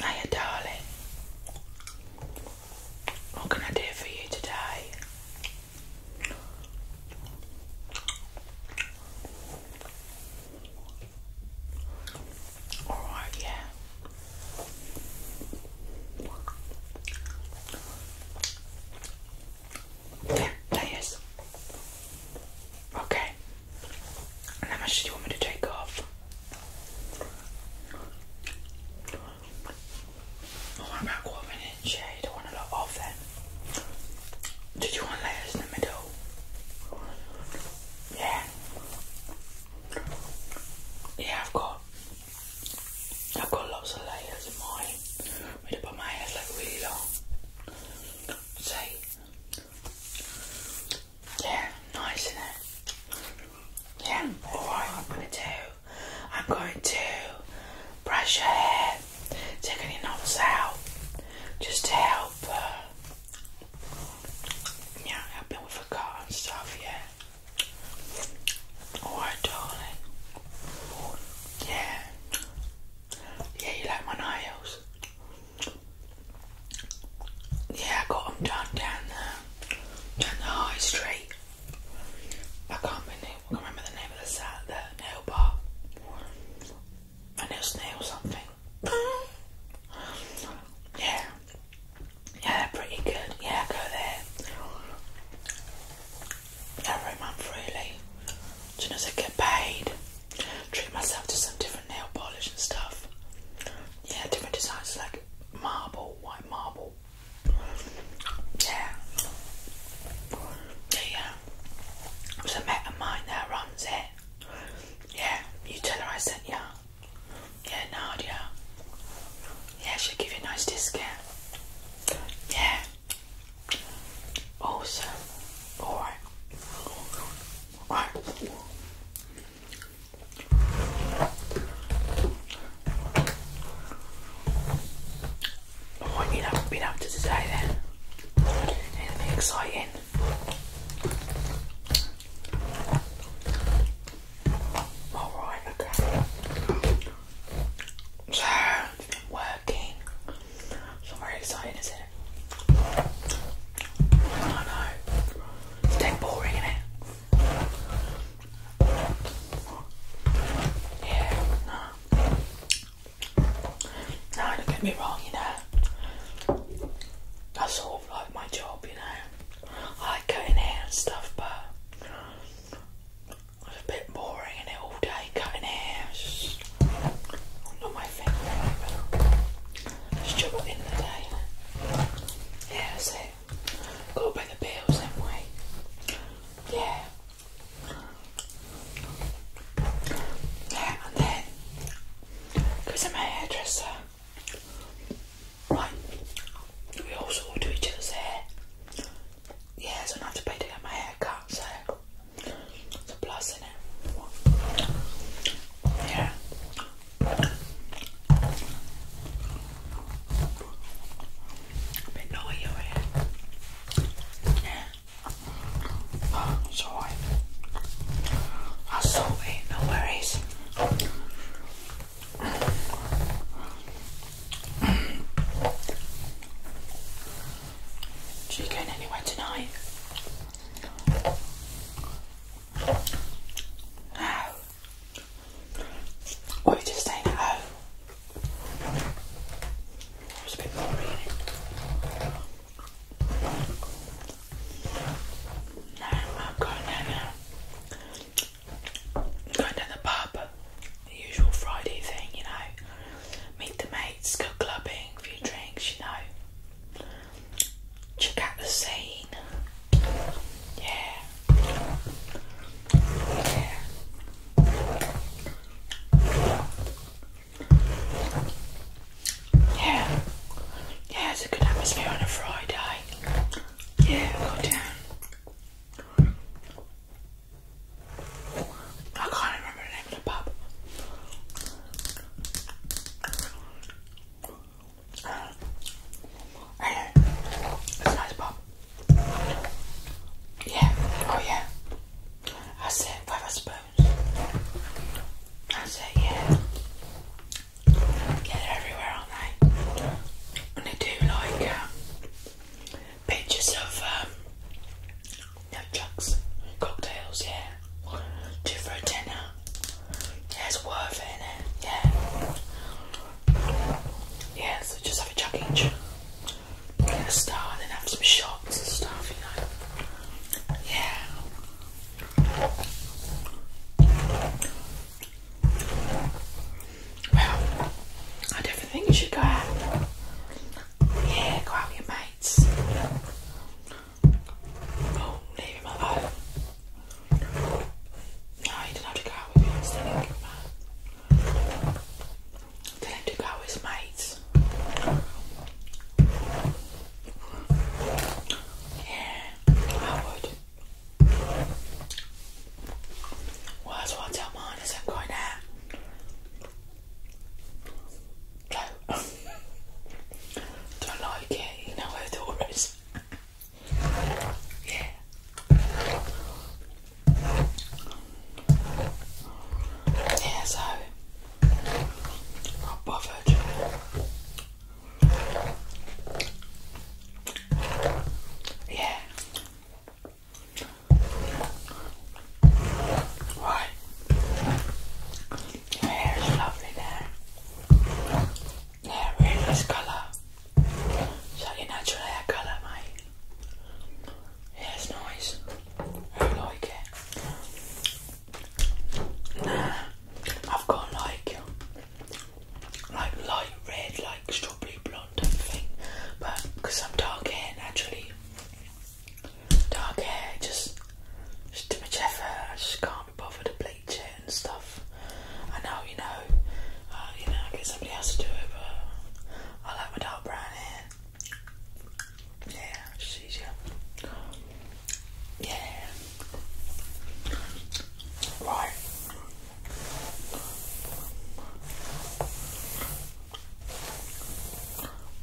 Hiya, darling. What can I do for you today? All right, yeah. Yeah, layers. Okay. how much do you want me to take off? Oh, about quarter of an Yeah, you don't want a lot off then. Did you want layers in the middle? Yeah. Yeah, I've got I've got lots of layers in mine. I'm put my hair like really long. See? Yeah, nice isn't it? Yeah, alright, I'm gonna do I'm going to brush your hair, take any knots out, just to help uh, yeah, helping with the cut and stuff, yeah. Alright darling. Yeah. Yeah, you like my nails? Yeah, I got them done down there, down the high street. I can't, remember, the name of the, side, the nail bar. I nail snail something. yeah. Yeah, pretty good. Yeah, go there every month really. As soon as I get paid, treat myself to some different nail polish and stuff. Yeah, different designs like marble, white marble. Yeah. Yeah, yeah. There's a mate of mine that runs it. Yeah, you tell her I sent you. Yeah, Nadia. Yeah, she'll give you a nice discount. Yeah. Awesome. Alright. Alright. What you have been to today then? Anything exciting? Alright, okay. So, work, so I'm very excited, isn't it? I know. It's dead boring, isn't it? Yeah, no. No, don't get me wrong, you know. That's sort of like my job, you know. I like cutting hair and stuff, but it's a bit boring in it all day cutting hair. not my thing really, but it's job at the day. Yeah, that's it. Gotta pay the bills then we. Yeah. Yeah, and then I'm a hairdresser. Right. We all do each hair yeah, so I don't have to pay to get my hair cut, so it's a plus in it. Yeah. A bit Yeah. Oh, it's i am so it, no worries. She going anywhere tonight? No. Or just staying at home? It's a bit boring, No, I'm going down now. going down the pub. The usual Friday thing, you know meet the mates, go clubbing, a few drinks, you know. Check out the scene. Yeah. Yeah. Yeah. Yeah, it's a good atmosphere on a Friday. Yeah, go down. I can't remember the name of the pub. Yeah, oh yeah. That's it, five spoons. That's it, yeah. Yeah, everywhere, aren't they? And they do like um, pictures of um, nunchucks, cocktails, yeah. Two for a tenner. Yeah, worth it, Yeah. Yeah, so just have a chuck each. Get a star then have some shots and stuff, you know. Yeah. Well, I definitely think you should go out. Yeah, go out with your mates. Oh, leave him alone. No, he didn't have to go out with you, I'm still thinking about Tell him go with mates. Yeah, I would. Well, that's what I is i going out. Don't like it, you know where the door is. yeah. Yeah, so not bothered. Yeah. Why? Your hair is lovely there. Yeah, really nice color. Slightly natural hair color, mate. Yeah, it's nice. I like it. Nah, I've got like, like light red, like strawberry blonde type thing. But because I'm dark hair naturally, dark hair, just just too much effort. I just can't be bothered to bleach it and stuff. I know, you know, uh, you know, I get somebody else to do it, but I like my dark brown hair. Yeah, it's just Yeah. Right.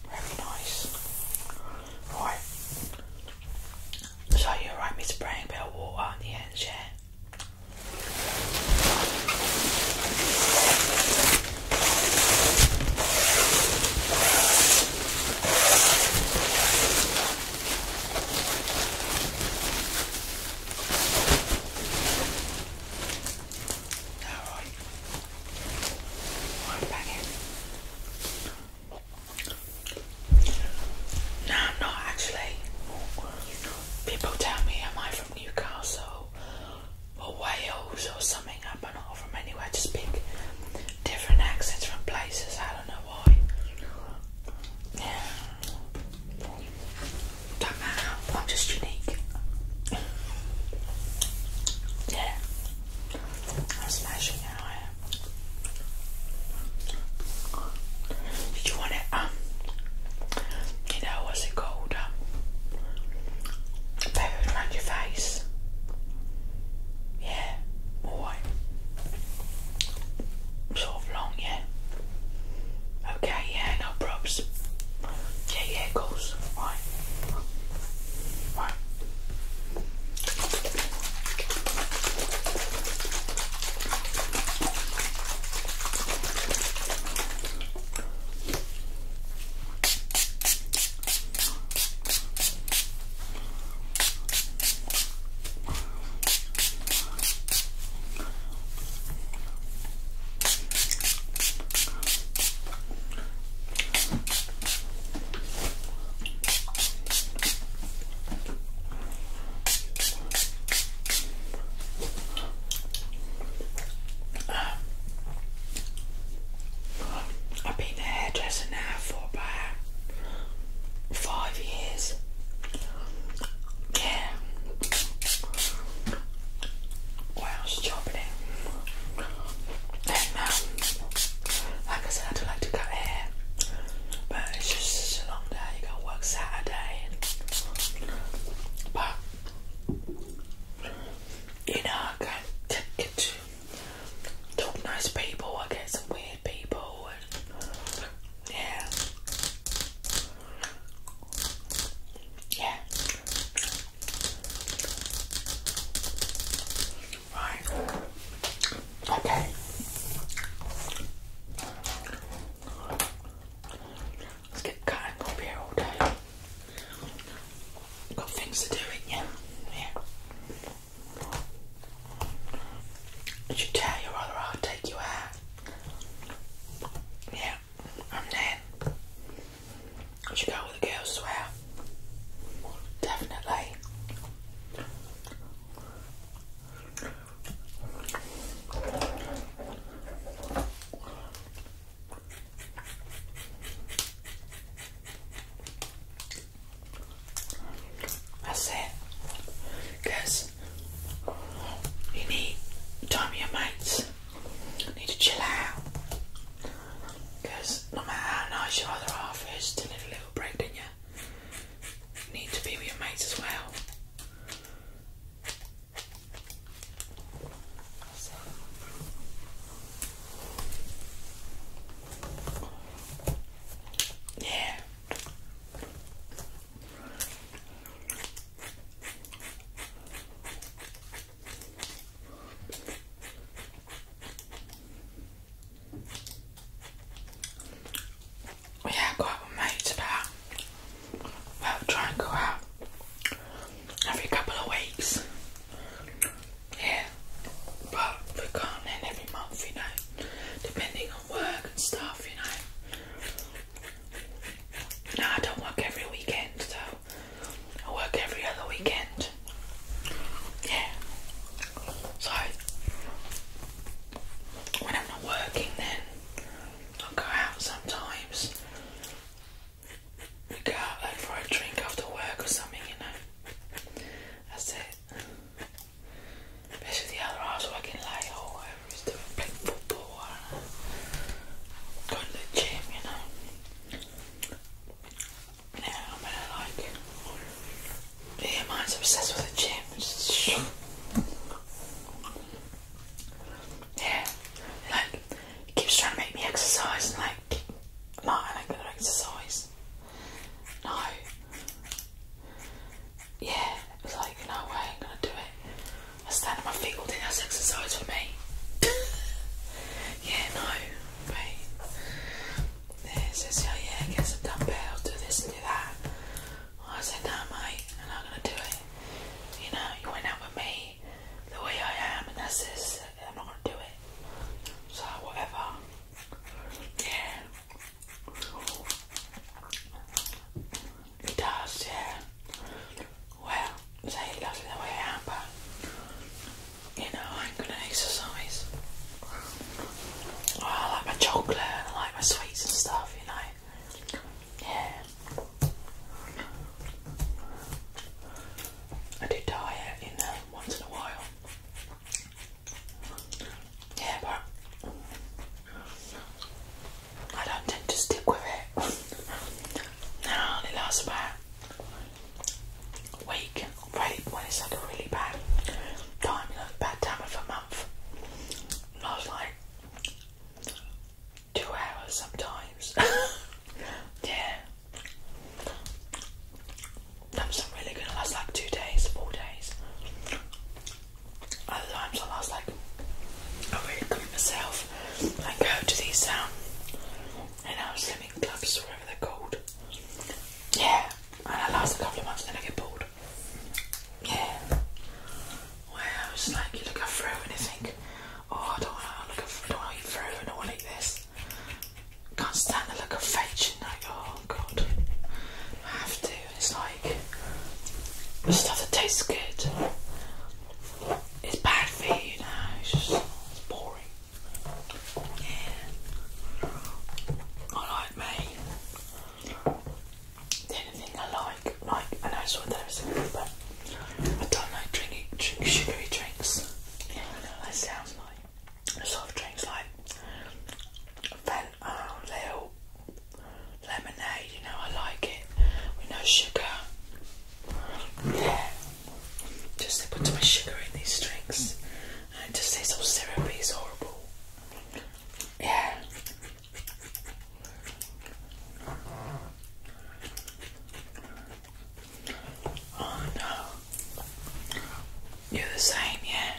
Very nice. Right. So you are right me spraying a bit of water on the ends, yeah? Alright. No, I'm not actually. People tell me, am I from Newcastle or Wales or something? I'm not from anywhere. I just speak different accents from places. I don't know why. Yeah. not matter. I'm just unique. Yeah. I'm smashing it. Did you want it? Um, you know what's it called? Um, around your face. Yeah, alright. Sort of long, yeah. Okay, yeah, no props. Yeah, yeah, of just fine. Fine. I've been a hairdresser now for about five years. Yeah. Well, I was um, like I said, I do like to cut hair, but it's just such a long day. You got work Saturday, but you know, I get, talk nice people. I get some weird people, and yeah, yeah. Right. Okay. Let's get cutting up here all day. Got things to do, yeah. Yeah. should tell you rather i take you out. Yeah. And then you should go with the girls, swear. Definitely. That's it. you need time with your mates. You need to chill out. Because no matter how nice your other half is, still need a little break, do not you? Need to be with your mates as well. Yeah. We have go out with mates about, well, try and go out every couple of weeks. Yeah, but we can't then every month, you know, depending on work and stuff, you know. No, I don't work every weekend, so I work every other weekend yeah. So when I'm not working, then I'll go out sometimes. Go out like, for a drink after work or something, you know. That's it. Especially the other hours working late or oh, whatever he's doing, playing football going to the gym, you know. You know, I'm gonna like. Yeah, mine's obsessed with the gym. Just yeah, like it keeps trying to make me exercise, and like, no, I ain't gonna exercise. No. Yeah, it was like, no way, I'm gonna do it. I stand on my feet all day. That's exercise for me. yeah, no, wait. It says, oh yeah, get some dumbbell, do this and do that. Well, I said, no mate, I'm not going to do it. You know, you went out with me the way I am and that's this, I'm not going to do it. So, whatever. Yeah. It does, yeah. Well, say it loves me the way I am, but you know, I'm gonna exercise. Oh, I like my chocolate and I like my sweets and stuff, you know. Yeah. I do diet, you know, once in a while. Yeah, but I don't tend to stick with it. no, it lasts about week really when it's like a really bad time, you know, bad time of a month. And I was like two hours sometimes. yeah. That was really gonna last like two days, four days. Other times I will last like I really commit myself and go to the these and i know swimming clubs wherever they're called. Yeah, and that lasts a couple of months and then I get bored. Yeah. Well, it's like you look at through and you think, oh, I don't want to look at, don't want to eat through and I want to eat this. Can't stand the look of fetching, like, oh god, I have to. It's like, the stuff that tastes good, it's bad for you, you know, it's just it's boring. Yeah. I like me. The only thing I like, like, I know it's what they're saying, but I don't like drinking drink sugary drinks. Yeah, I know that sounds like soft drinks like fan oh, little lemonade, you know, I like it. With no sugar. Yeah. Just they put too much sugar in these drinks. It just tastes so syrupy, is horrible. Yeah. Oh no. You're the same, yeah.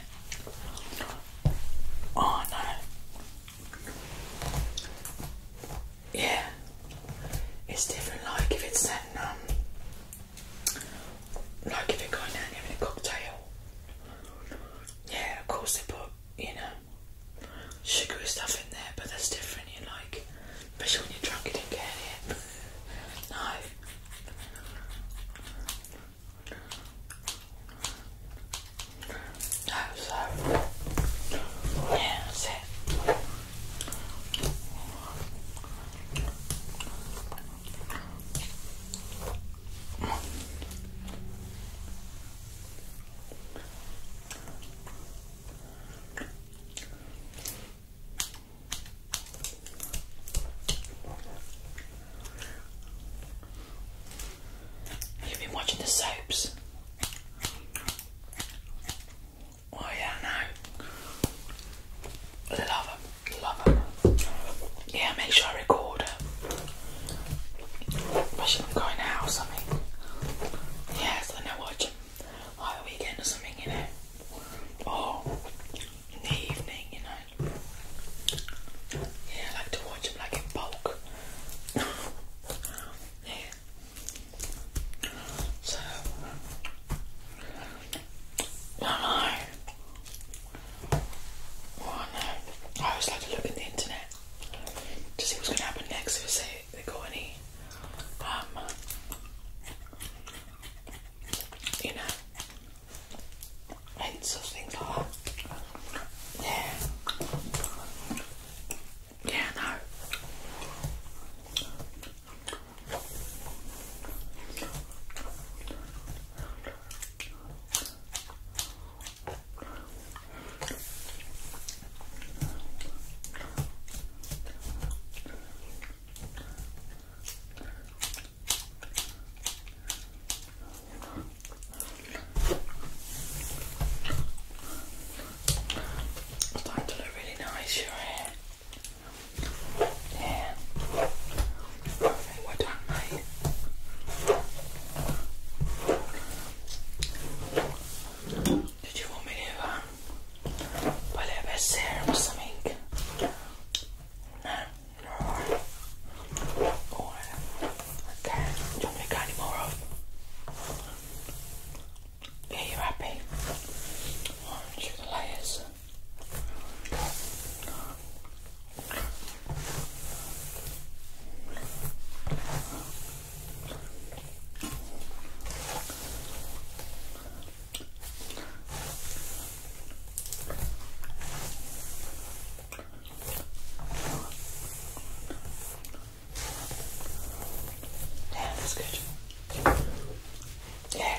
Oh no. Yeah. It's different like if it's that um like if they're going out and having a cocktail. Yeah, of course they put, you know, sugary stuff in there, but that's different, you like, especially when you're drunk, you don't get no. No, so, yeah, that's it. You've been watching the soaps. Oh yeah, no. Love them, love them. Yeah, make sure I record it. I shouldn't be going out or something. Yeah, so now watch like a weekend or something, you know. Or in the evening, you know. Yeah, I like to watch them like in bulk. yeah. So, I I always like to look at the internet to see what's going to happen next. If say they got any, um, you know, hints of things like that. Yeah. Yeah. No. It's starting to look really nice, your hair. Yeah. Perfect. Well done, Did you want me to um, put a serum or something? No? Okay. Do you want me to cut any more off? Yeah, you're happy. Alright, the layers. Yeah, that's good. Yeah.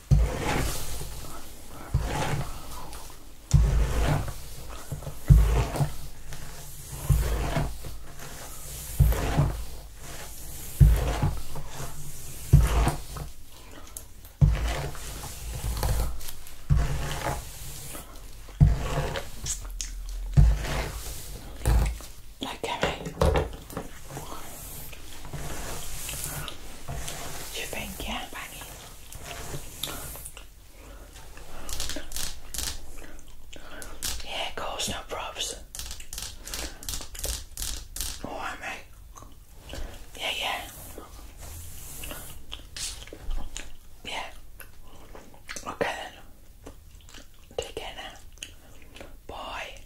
Okay. You think, yeah, banging? Yeah, of course, no props. Alright, mate. Yeah, yeah. Yeah. Okay then. Take care now. Bye.